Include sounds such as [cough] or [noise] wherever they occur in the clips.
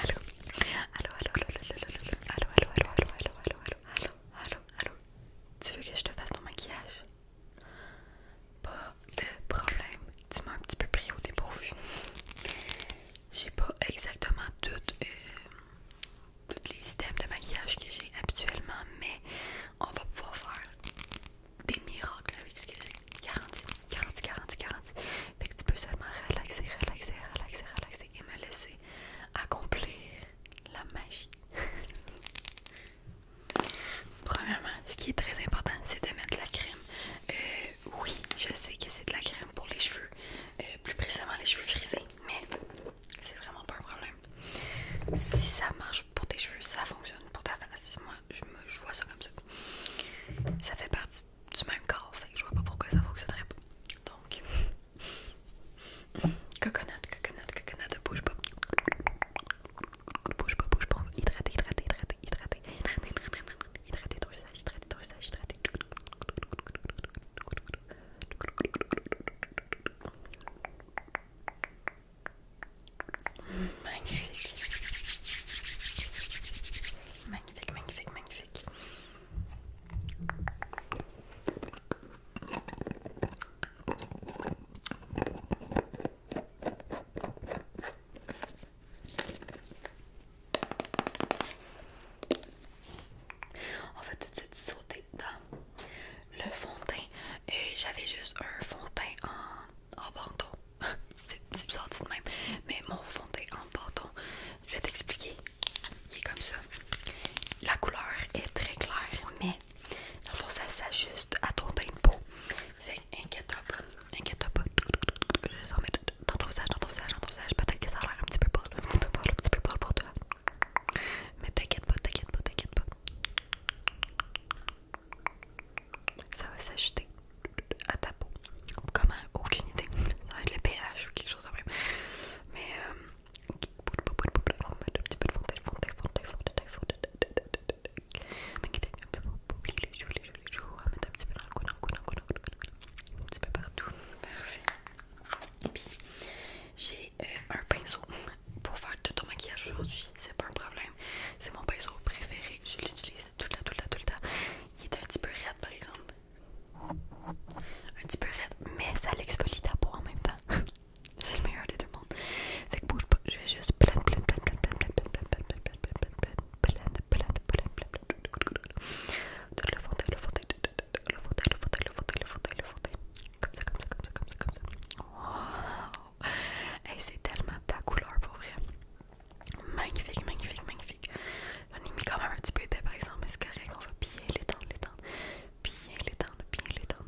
Allô Allô, allô, allô, allô, allô, allô, allô, allô, allô, allô, allô, allô, allô, Tu veux que je te fasse ton maquillage Pas de problème, tu m'as un petit peu pris au dépourvu. J'ai pas exactement toutes, toutes les étapes de maquillage que j'ai habituellement, mais on va pouvoir faire des miracles avec ce que j'ai, garanti. 40, 40, 40. Fait que tu peux seulement relaxer, relaxer, relaxer, relaxer et me laisser accomplir la magie. [laughs] Premièrement, ce qui est très important, c'est de mettre de la crème. Euh, oui, je sais que c'est de la crème pour les cheveux, euh, plus précisément les cheveux frisés, mais c'est vraiment pas un problème. Si ça marche pour tes cheveux, ça fonctionne pour ta face. Moi, je, je vois ça comme ça. Ça fait partie c'est même corps, fait je vois pas pourquoi ça fonctionnerait pas. Donc, coconut, coconut, coconut, bouge pas. Bouge pas, bouge pas, hydrater, hydrater, hydrater, hydrater, hydrater, visage, hydrater visage, Magnifique magnifique, magnifique, magnifique. On va tout de suite sauter dans le fond de teint. Et j'avais juste un fond de teint en, en bandeau c'est bizarre dit de même, mais mon fond de en bâton, je vais t'expliquer, il est comme ça. La couleur est très claire, mais dans le fond ça s'ajuste à ton teint de peau. Fait inquiète-toi pas, inquiète-toi pas. Je vais en mettre dans ton visage, dans ton visage, dans ton visage. Peut-être que ça a l'air un petit peu pâle, un petit peu pâle, un petit peu pâle pour toi. Mais t'inquiète pas, t'inquiète pas, t'inquiète pas ça va s'acheter à ta peau. Comment Aucune idée. le pH ou quelque chose après. Mais j'ai un pinceau pour faire tout ton maquillage aujourd'hui. C'est pas un problème. C'est mon pinceau préféré. Je l'utilise tout le Il est un petit peu raide par exemple. Un petit peu raide, mais ça l'exfolie en même temps. C'est le meilleur des deux Fait que je vais juste plein, plein, plein, plein, plein, le comme ça, c'est tellement ta couleur pour vrai. Magnifique, magnifique, magnifique. On y quand un petit peu par exemple, mais c'est correct, va bien bien bien Bien bien bien bien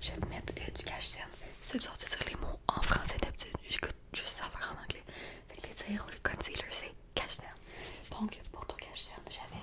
je vais mettre du cash C'est sortir dire les mots en français d'habitude. J'écoute juste en anglais. les le c'est cash Donc, pour ton cash j'avais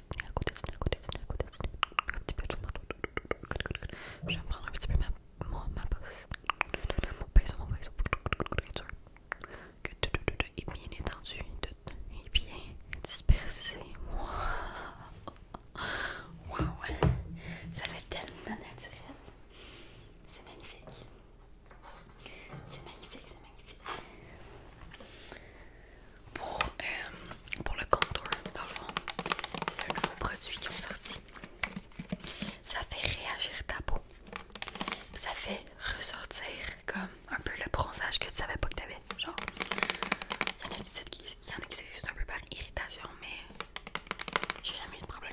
Je vais prendre un petit peu ma, Mon est bien étendu, est bien dispersé. Ça fait tellement naturel. C'est magnifique. C'est magnifique, c'est magnifique pour, euh, pour le contour. Dans le fond, c'est un nouveau produit qui est sorti. Ça fait réagir ta peau. Ça fait ressortir comme un peu le bronzage que tu savais pas que tu avais, Genre, il y en a qui s'existent un peu par irritation, mais j'ai jamais eu de problème.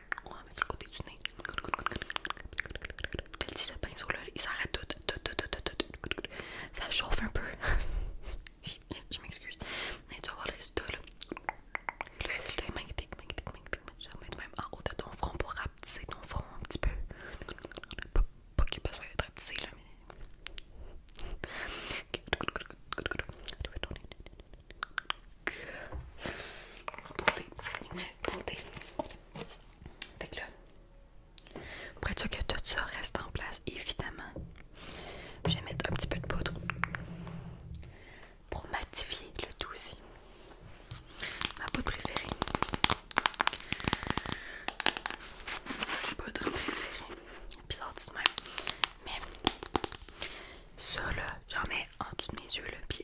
on va le côté du nez. le pinceau il s'arrête tout, Ça chauffe un peu. [laughs] je m'excuse. tu vas voir le résultat Le est Je mettre même en haut de ton front pour rapetisser ton front un petit peu. Pas, qu'il ait besoin d'être rapetissé mais avec le là, pour être sûr que tout ça reste en place, évidemment, je vais mettre un petit peu de poudre pour matifier le tout aussi. Ma poudre préférée. Ma poudre préférée. Puis dit même. Mais ça là, j'en mets en dessous de mes yeux le pied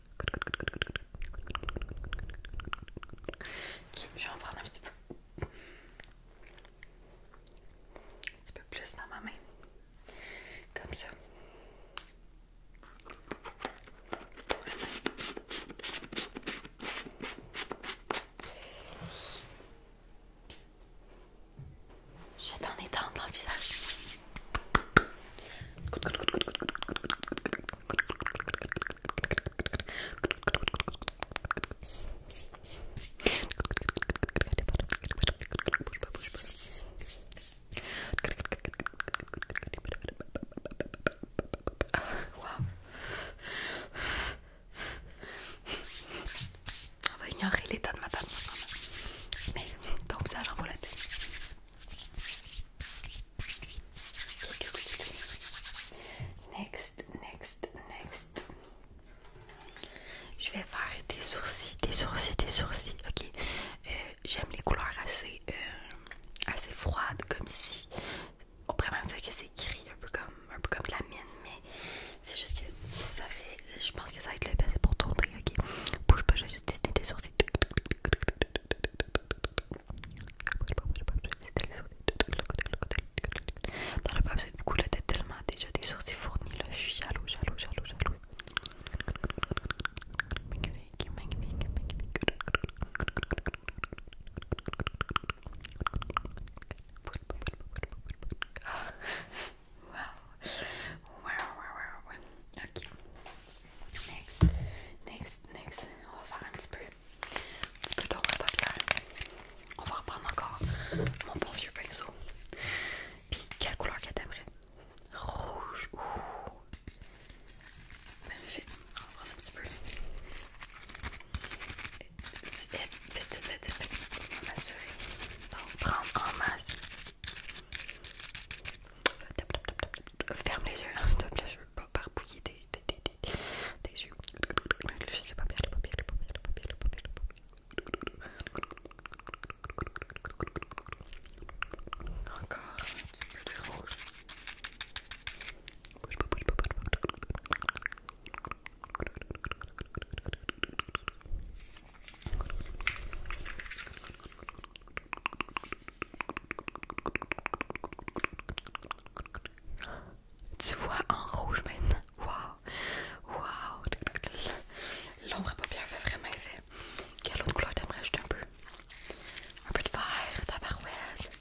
Ok, je vais en prendre un petit peu. Un petit peu plus dans ma main. Comme ça. J'attends les dents dans le visage. On va ignorer l'état de ma maintenant, Mais donc ça j'envoie la Next, next, next. Je vais faire des sourcils, des sourcils, des sourcils. Ok. Euh, j'aime les couleurs assez, euh, assez froides, comme ici. On même dire que c'est gris, un peu comme, comme la mienne, mais c'est juste que ça fait. Je pense que ça va être le best pour tourner. Ok. Bouge pas, juste tester sourcils. Dans la du coup, tellement déjà des sourcils fournis, je suis jaloux, Wow. Wow, wow, wow, wow. Ok. Next. Next, next. On va faire un petit peu. Un petit peu d'ombre paupière. On va reprendre encore mon bon vieux pinceau. Puis, quelle couleur que t'aimerais? Rouge. Ouh. fait. On va prendre un petit peu. Vite, vite, vite, vite. On va m'assurer. Donc, prendre en masse. Ferme les yeux, hein, s'il te pas barbouiller des, yeux. Encore rouge. Tu vois en rouge maintenant. Waouh! Waouh! L'ombre à paupières fait vraiment effet. Quelle autre couleur t'aimerais ajouter un peu? Un peu de vert, ouest,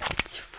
Un petit fou.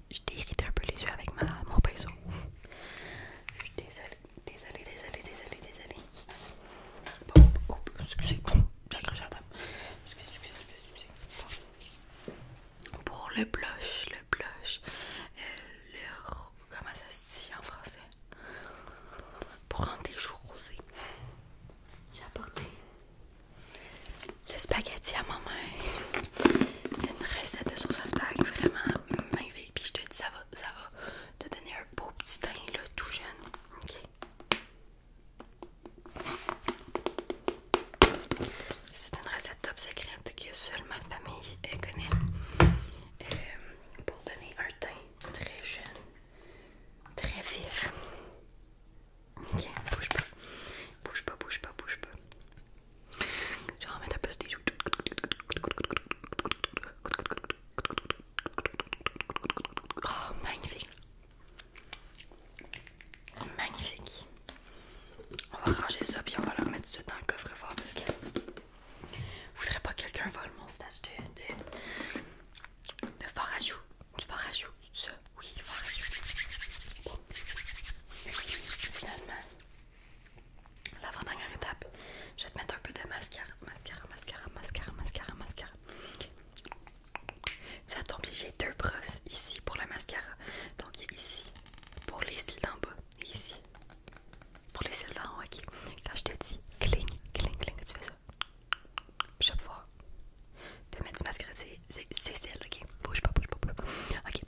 je t'ai irrité un peu les yeux avec ma, mon pinceau. Je suis désolée, désolée, désolée, désolée, désolée. Bon, oh, excusez, j'ai accroché à la table. Excusez, excusez, excusez, excusez. Pour le blush, le blush, euh, le. Comment ça se dit en français? Pour rendre les joues rosées. J'ai apporté le spaghetti à maman, C'est une recette de sauce à spaghettis vraiment magnifique. Puis je te dis, ça va, ça va te donner un beau petit teint là, tout jeune. Ok. C'est une recette top secrète que seule ma famille connaît euh, pour donner un teint très jeune, très vif. Ok, bouge pas, bouge pas, bouge pas, bouge pas. Je vais remettre un peu ce Oh, magnifique! Magnifique! On va ranger ça, puis on va le remettre dans le coffre-fort parce que je voudrais pas que quelqu'un vole mon stage de, de, de Du ça? Oui, farajou. Finalement. La dernière étape, je vais te mettre un peu de mascara, mascara, mascara, mascara, mascara, mascara. Ça tombe bien, j'ai deux brosses ici pour le mascara. Donc il y a ici pour les cils d'en bas et ici pour les cils d'en haut. Ok, quand je te dis cling, cling, cling, tu fais ça. Chaque fois vais te mettre du mascara, c'est celle, ok? Bouge pas, bouge pas, bouge pas.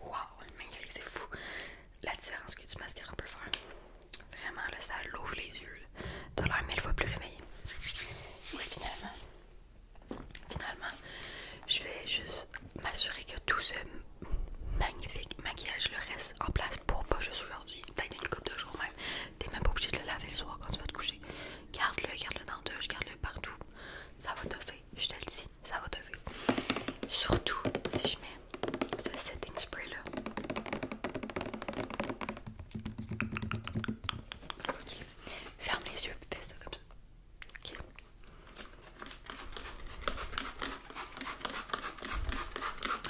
Waouh, magnifique, c'est fou la différence que du mascara peut faire. Vraiment, ça l'ouvre les yeux. T'as l'air mille fois plus réveillé. Oui, finalement. Finalement, je vais juste m'assurer que tout ce magnifique maquillage le reste en place pour pas juste aujourd'hui. T'as être une couple de jours même. T'es même pas obligé de le laver le soir quand tu vas te coucher. Garde-le, garde-le dans deux, garde-le partout. Ça va te faire, je te le dis, ça va te faire. Surtout si je mets ce setting spray là. Ok. Ferme les yeux, fais ça comme ça. Ok.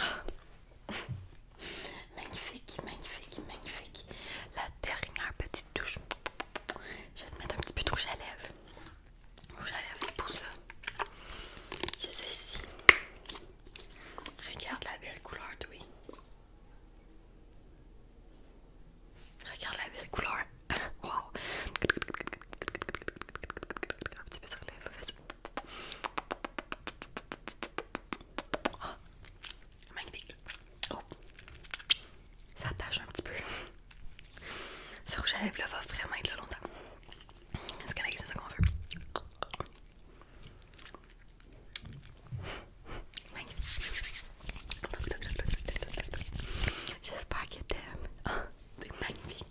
Ah. Magnifique, magnifique, magnifique. La dernière petite touche. Je vais te mettre un petit peu de rouge à lèvres. Rouge à lèvres pour ça. Je suis ici. Regarde la belle couleur, oui. Regarde la belle couleur. [laughs] Wow. Un petit peu ah, magnifique. Oh, ça tâche un petit peu. Ce rouge à lèvres là va vraiment être là longtemps. Est-ce qu'elle c'est ça qu'on veut? Magnifique J'espère que t'aimes. Oh, ah, c'est magnifique.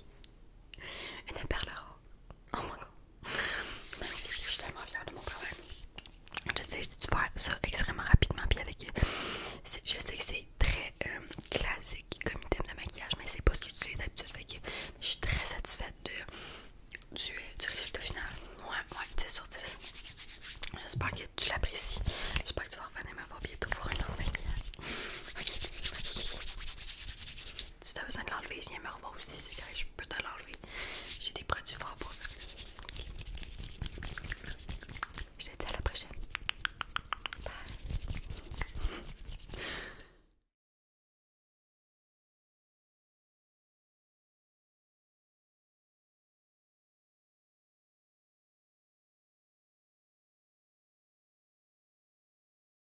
Une perle rose. Oh mon god. Magnifique, je suis tellement fière de mon problème. J'ai dû faire ça extrêmement rapidement. Puis avec, je sais que c'est très euh, classique comme item de maquillage, mais c'est pas ce que j'utilise d'habitude. Fait je suis très satisfaite du, du résultat final. Ouais, ouais, 10 sur 10. J'espère que tu l'apprécies. J'espère que tu vas revenir me voir bientôt pour une autre maquillage. Ok, ok si t'as besoin de l'enlever, viens me revoir aussi, c'est correct, je peux te l'enlever. J'ai des produits froid pour ça. Je te dis à la prochaine. Bye.